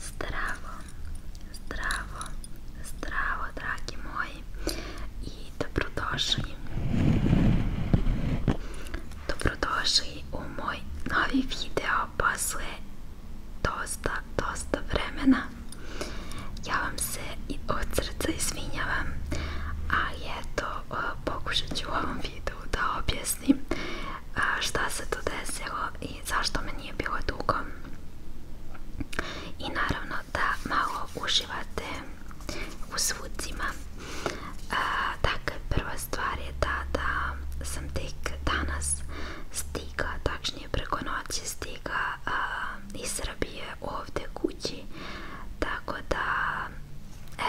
Zdravo, zdravo, zdravo dragi moji i dobrodošli Dobrodošli u moj novi video posle dosta, dosta vremena Ja vam se od srca izvinjavam, ali eto pokušat u ovom da objasnim šta se to desilo i zašto me nije bilo dugo i naravno da malo uživate u zvucima dakle prva stvar je ta da sam tek danas stigla, tačnije preko stigla iz Srbije ovdje kući tako da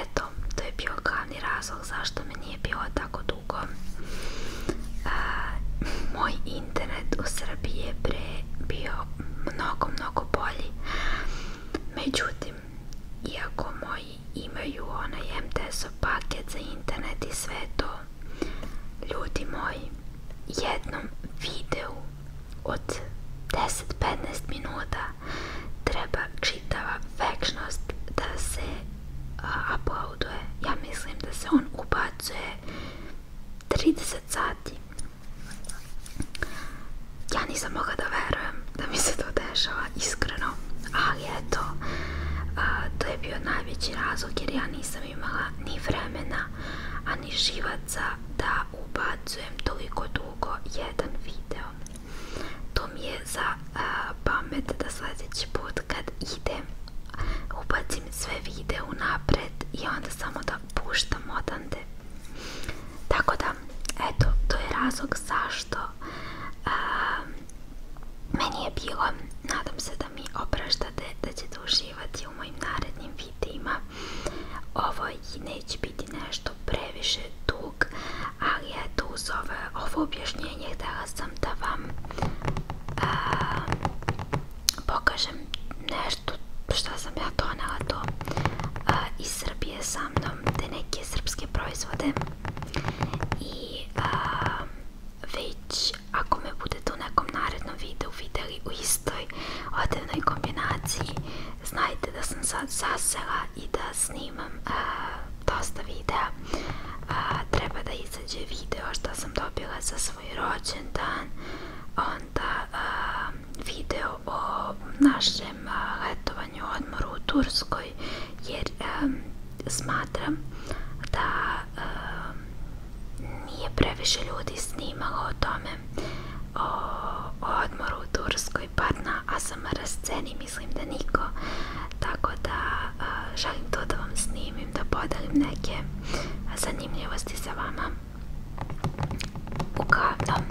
eto, to je bio glavni razlog zašto me nije bilo tako dugo e, moj internet u Srbiji je pre bio mnogo, mnogo bolji međutim iako moji imaju onaj MTS-ov paket za internet i sve to ljudi moji jednom videu od 10-15 minuta treba čitava večnost da se uh, uploaduje. Ja mislim da se on ubacuje 30 sati. Ja nisam mogla da verujem da mi se to dešava, iskreno. Ali eto, uh, to je bio najveći razlog jer ja nisam imala ni vremena, a ni živac novaca da ubacujem toliko dugo jedan video. To mi je za a, pamet da sledeći put kad idem ubacim sve videe unapred i onda samo da puštam odande. Tako da, eto, to je razlog zašto a, meni je bilo, nadam se da mi opraštate, da ćete uživati u mojim narednim videima. Ovo neće biti nešto previše dug, ali eto uz ovo, ovo objašnjenje da sam da vam a, pokažem nešto što sam ja donela to a, iz Srbije sa mnom, te neke srpske proizvode i a, već ako me budete u nekom narednom videu videli u istoj odevnoj kombinaciji Znajte da sam sad zasela i da snimam a, dosta videa. A, treba da izađe video što sam dobila za svoj rođendan. Onda a, video o našem a, letovanju odmoru u Turskoj jer a, smatram da a, nije previše ljudi snimalo o tome o, o odmoru u Turskoj par na ASMR sceni mislim da niko tako da a, želim to da vam snimim da podelim neke zanimljivosti sa vama uglavnom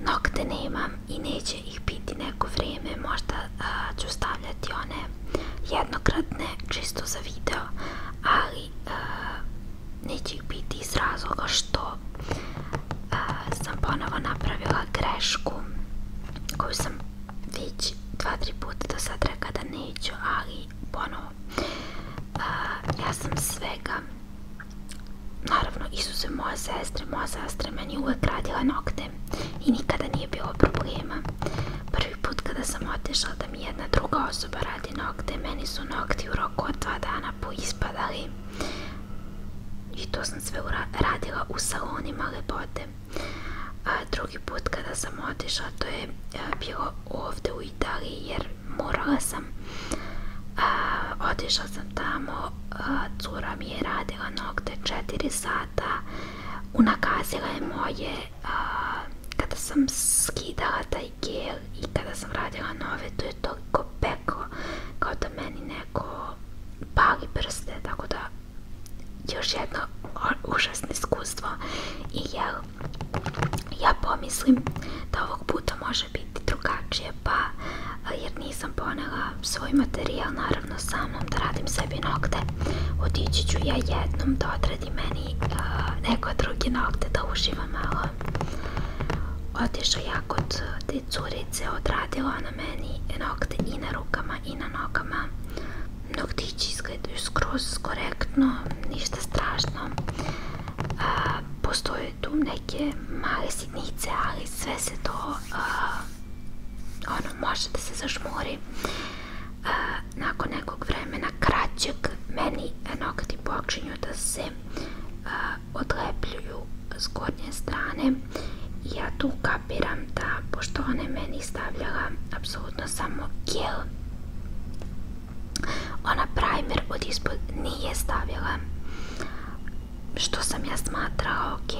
nokte nemam i neće ih biti neko vrijeme možda a, ću stavljati one jednokratne čisto za video ali a, neće ih biti iz razloga što sam ponovo napravila grešku koju sam već dva, tri puta do sad rekla da neću, ali ponovo ja sam svega naravno Isuse moja sestra, moja sestra meni uvek radila nokte i nikada nije bilo problema prvi put kada sam otišla da mi jedna druga osoba radi nokte meni su nokti u roku od dva dana poispadali I to sam sve radila u salonima lepote. A drugi put kada sam otišla, to je bilo ovde u Italiji jer morala sam. A, otišla sam tamo, a, cura mi je radila nokte 4 sata, unakazila je moje a, kada sam skidala taj gel i kada sam radila nove, to je toliko peko kao da meni neko pali prste, tako da još jedno užasno iskustvo i jel, ja pomislim da ovog puta može biti drugačije, pa jer nisam ponela svoj materijal naravno sa mnom da radim sebi nokte otići ću ja jednom da odradi meni neko drugi nokte da uživam malo otišao ja kod te curice odradila na meni nokte i na rukama i na nogama. Noktići izgledaju skroz korektno, ništa strašno. A, postoje tu neke male sitnice, ali sve se to a, ono može da se zažmuri. A, nakon nekog vremena kraćeg meni nokti počinju da se a, odlepljuju s gornje strane i ja tu kapiram da pošto ona je meni stavljala apsolutno samo gel ona primer od ispod nije stavila što sam ja smatrala ok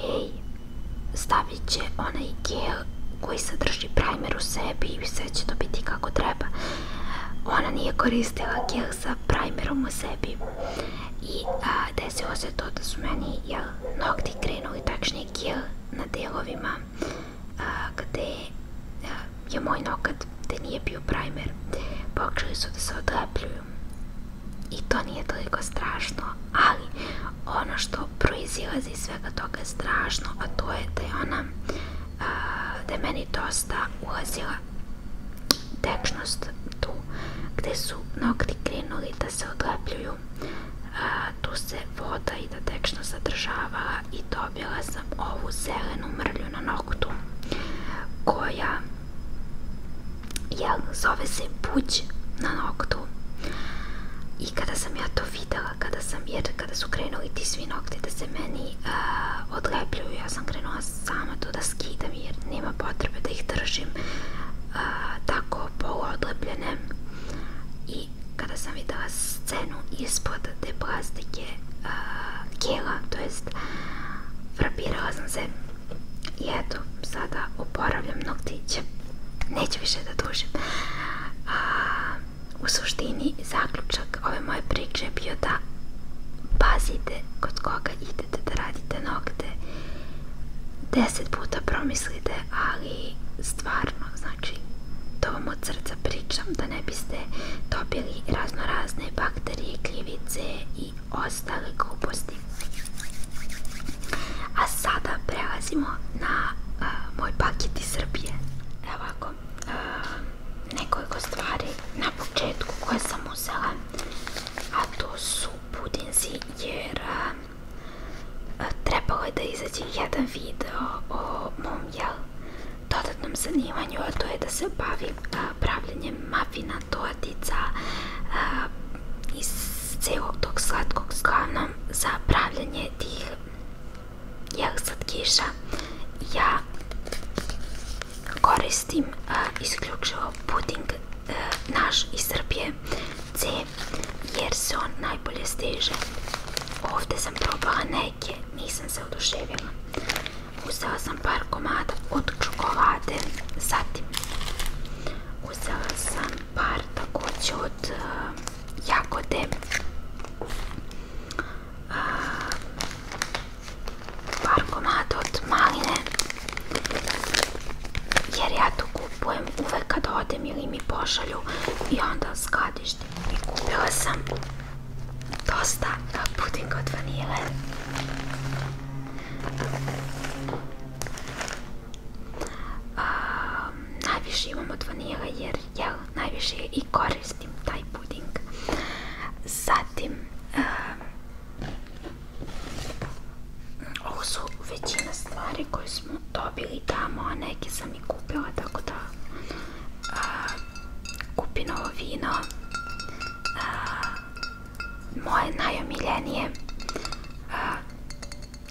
stavit će onaj gel koji sadrži primer u sebi i sve će to biti kako treba ona nije koristila gel slikah sa primerom u sebi i a, desilo se to da su meni jel, nokti krenuli tačnije kil na delovima a, gde je moj nokat gde nije bio primer počeli su da se odlepljuju i to nije toliko strašno ali ono što proizilazi iz svega toga je strašno a to je da je ona da je meni dosta ulazila tečnost tu gde su nokti krenuli da se odlepljuju a, tu se voda i da tečno zadržavala i dobila sam ovu zelenu mrlju na noktu koja jel, zove se puć na noktu i kada sam ja to videla kada sam jer kada su krenuli ti svi nokti da se meni a, odlepljuju ja sam krenula sama to da skidam jer nema potrebe da ih držim a, tako poluodlepljene i kada sam videla scenu ispod te plastike a, kela, to jest frapirala sam se i eto, sada oporavljam noktiće neću više da dužim a, u suštini zaključak ove moje priče je bio da pazite kod koga idete da radite nokte, deset puta promislite, ali stvarno, znači, to vam od srca pričam, da ne biste dobili razno razne bakterije, kljivice i ostale gluposti. A sada prelazimo na a, moj paket iz Srbije. Evo ovako, a, nekoliko stvari na početku koje sam uzela, a to su pudinzi jer a, trebalo je da izađe jedan video o mom jel, dodatnom zanimanju, a to je da se bavim a, pravljenjem mafina, toatica a, iz celog tog slatkog slavnom za pravljanje tih jel slatkiša. Ja koristim uh, isključivo puding uh, naš iz Srbije C jer se on najbolje steže ovde sam probala neke nisam se oduševila uzela sam par komada od čokolade zatim uzela sam par takođe od e, jagode par komada od maline jer ja to kupujem uvek kad odem ili mi pošalju i onda skladište i kupila sam dosta puding da od vanile a, najviše imam od vanile jer ja najviše i koristim taj puding zatim a, Ovo su većina stvari koje smo dobili tamo, a neke sam i kupila, tako da a, kupim vino. moje najomiljenije.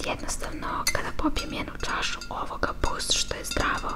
jednostavno, kada popijem jednu čašu ovoga, plus što je zdravo,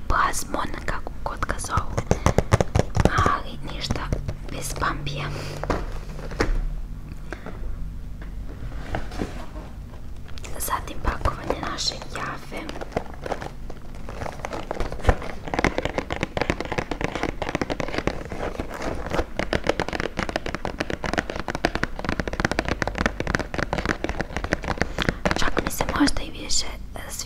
ili plazmon, kako god ga zovu. Ali ništa bez bambija. Zatim pakovanje naše jafe. Čak mi se možda i više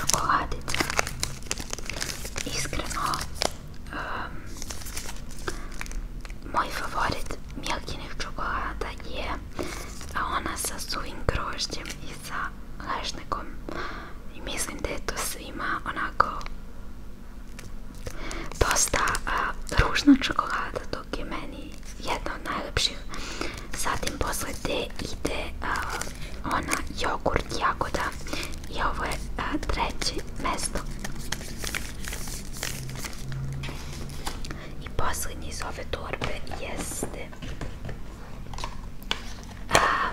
čokoladica. Iskreno, um, ehm, moj favorit Milkinih čokolada je ona sa suvim grožđem i sa lešnikom. I mislim da je onako dosta ružna čokolada, dok je meni jedna od najlepših Zatim posle te ide ona jogurt jagoda i ovo je treće mesto. I poslednji iz ove torbe jeste a,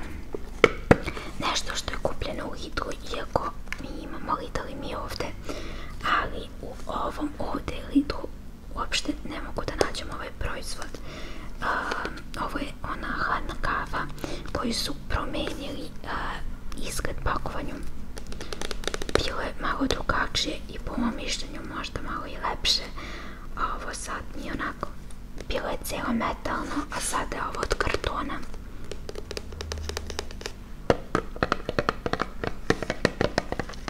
nešto što je kupljeno u Lidlu, iako mi imamo Lidl i mi ovde, ali u ovom ovde Lidlu uopšte ne mogu da nađem ovaj proizvod. Uh, ovo je ona hladna kava koju su promenili uh, izgled pakovanju. Bilo je malo drugačije i po mom mišljenju možda malo i lepše. A ovo sad nije onako. Bilo je cijelo metalno, a sada je ovo od kartona.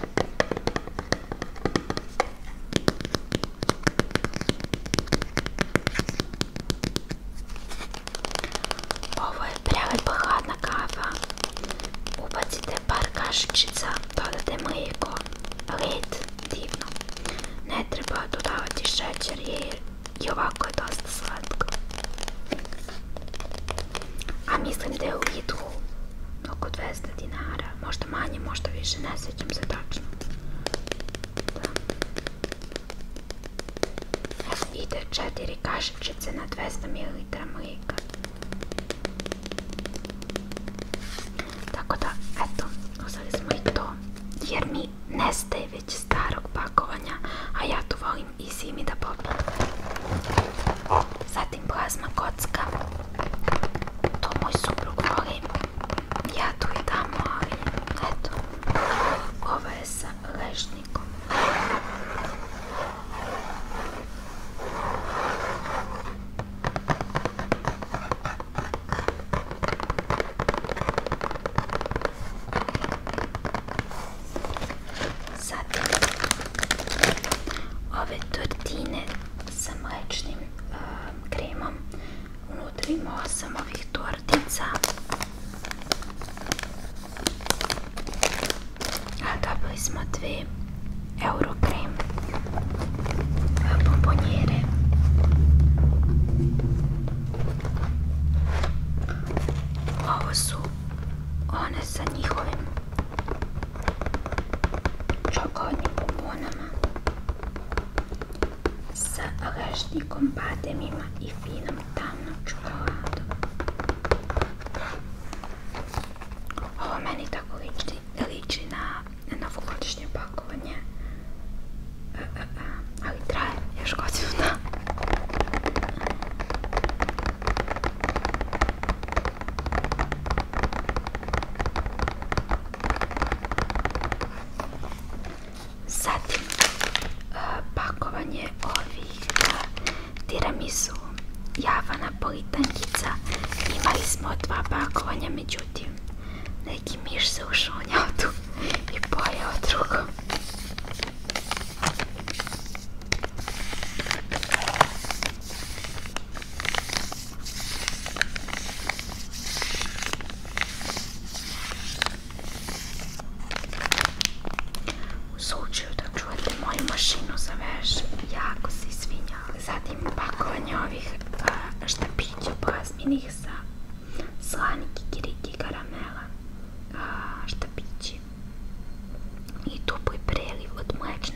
Ovo je prelepa hladna kava. Ubacite par kašičica, dodate mlijeko, led, divno. Ne treba dodavati šećer jer i ovako je dosta slatko. A mislim da je u Lidlu oko 200 dinara, možda možda manje, možda više, ne sjećam se tačno. Da. Evo ide četiri kašičice na 200 ml mlijeka. Tako da, eto, uzeli smo i to. Jer mi nestaje već starog pakovanja, a ja tu volim i zimi da popijem zatim plazma kocka, to moj suprug voli, ja tu i eto, ovo je sa lešnikom. Zatim, ove tortine sa mlečnim Eh, kremom. Vnutrimo osem ovih tortica. Dobili smo dve euro krem eh, bombonjere. Ovo su one sa njihovim čokoladnim bombonama sa lešnikom, bademima i finom tamnom čokoladom. Ovo meni tako liči, liči na novogodišnje pakovanje, e, e, e, ali traje još godinu dana. Zatim e, pakovanje ovih e, tiramisu javana politankica. Imali smo dva pakovanja, međutim neki miš se ušao u i pojeo drugo. U slučaju da čujete moju mašinu za veš, jako se izvinjam. Zatim pakovanje ovih uh, štapića plazminih sa slani kikiriki karamela uh, štapići i tupli preliv od mlečne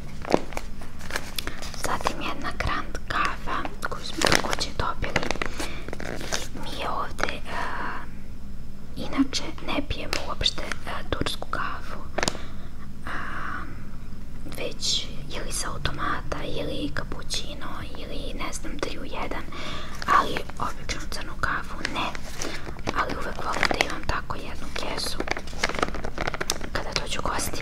Zatim jedna Grand kafa koju smo također dobili i mi je ovdje uh, e, inače ne pijemo uopšte uh, tursku kafu uh, već ili sa automata ili kapućino ili ne znam 3 u 1 ali obično crnu kafu ne ali uvek volim da imam tako jednu kesu kada dođu gosti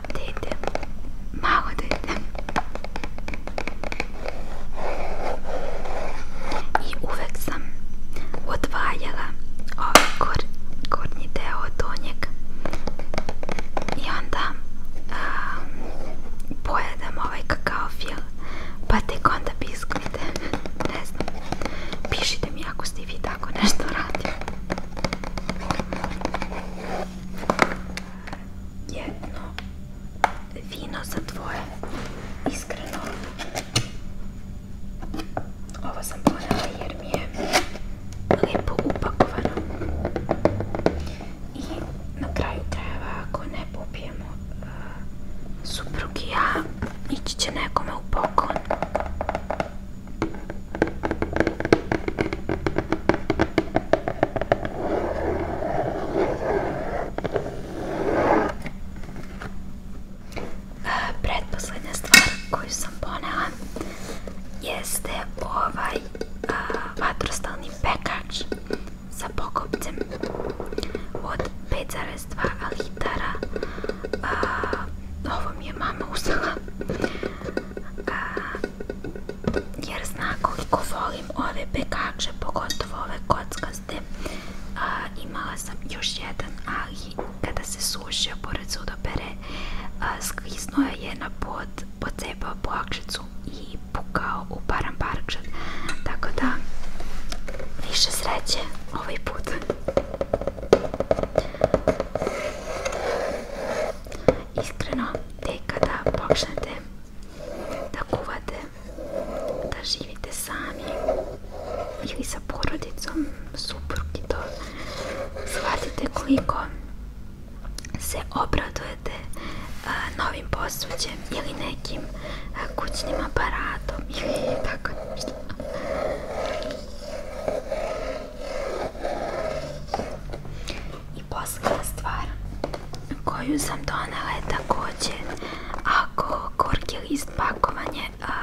A dete, malo dete. I uvek sam odvaljala ovaj gor, gornji deo od donjeg i onda a, pojedem ovaj kakao fil pa tek onda biskvite ne znam pišite mi ako ste vi tako nešto radili jedno vino za dvoje. Iskreno, ovo sam ponela jer mi je lijepo upakovano. I na kraju krajeva, ako ne popijemo uh, e, suprug i ja, ići će nekome u pokon. Predposlednja stvar koju sam ponela jeste ovaj a, vatrostalni pekač sa pokupcem od 5,2 litara. A, ovo mi je mama uzela jer zna koliko volim ove pekače, pogotovo ove kockaste. Imala sam još jedan, ali kada se sušio pored sudopere, sklisnuo je na pod, pocepao plakšicu i pukao u paramparčan. Tako da, više sreće ovaj put. Iskreno, te kada počnete da kuvate, da živite sami ili sa porodicom, suprug i to, shvatite koliko se obradujete a, novim posuđem ili nekim a, kućnim aparatom ili tako nešto. I posledna stvar koju sam donela je takođe ako gorki list pakovanje a,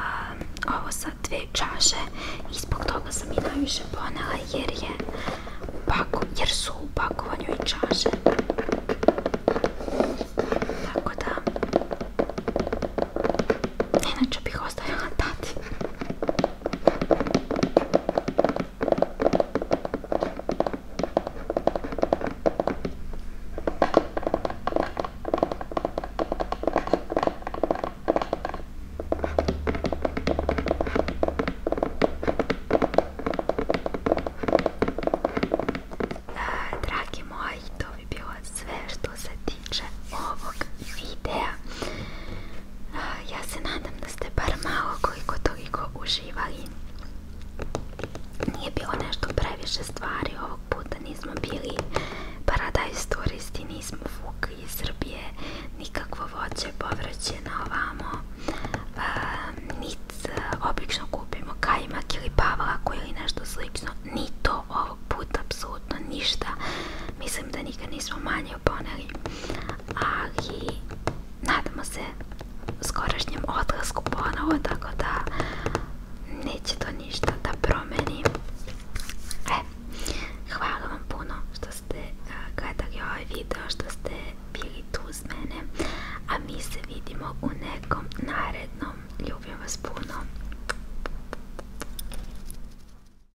ovo sa dve čaše i zbog toga sam i najviše ponela jer je pako, jer su u pakovanju i čaše tako da inače bih ostavila tati Dragi moji, to bi bilo sve što se tiče ovog videa. Ja se nadam da ste bar malo koliko toliko uživali. Nije bilo nešto previše stvari ovog puta, nismo bili paradajz turisti, nismo vukli iz Srbije, nikakvo voće, povrće ovamo, uh, obično kupimo kajmak ili pavlaku ili nešto slično, ni to ovog puta apsolutno apsolutno ništa. Mislim da nikad nismo manje oponeli, ali nadamo se skorašnjem odlasku ponovo, tako da neće to ništa da promeni. E, hvala vam puno što ste e, gledali ovaj video, što ste bili tu s mene, a mi se vidimo u nekom narednom. Ljubim vas puno.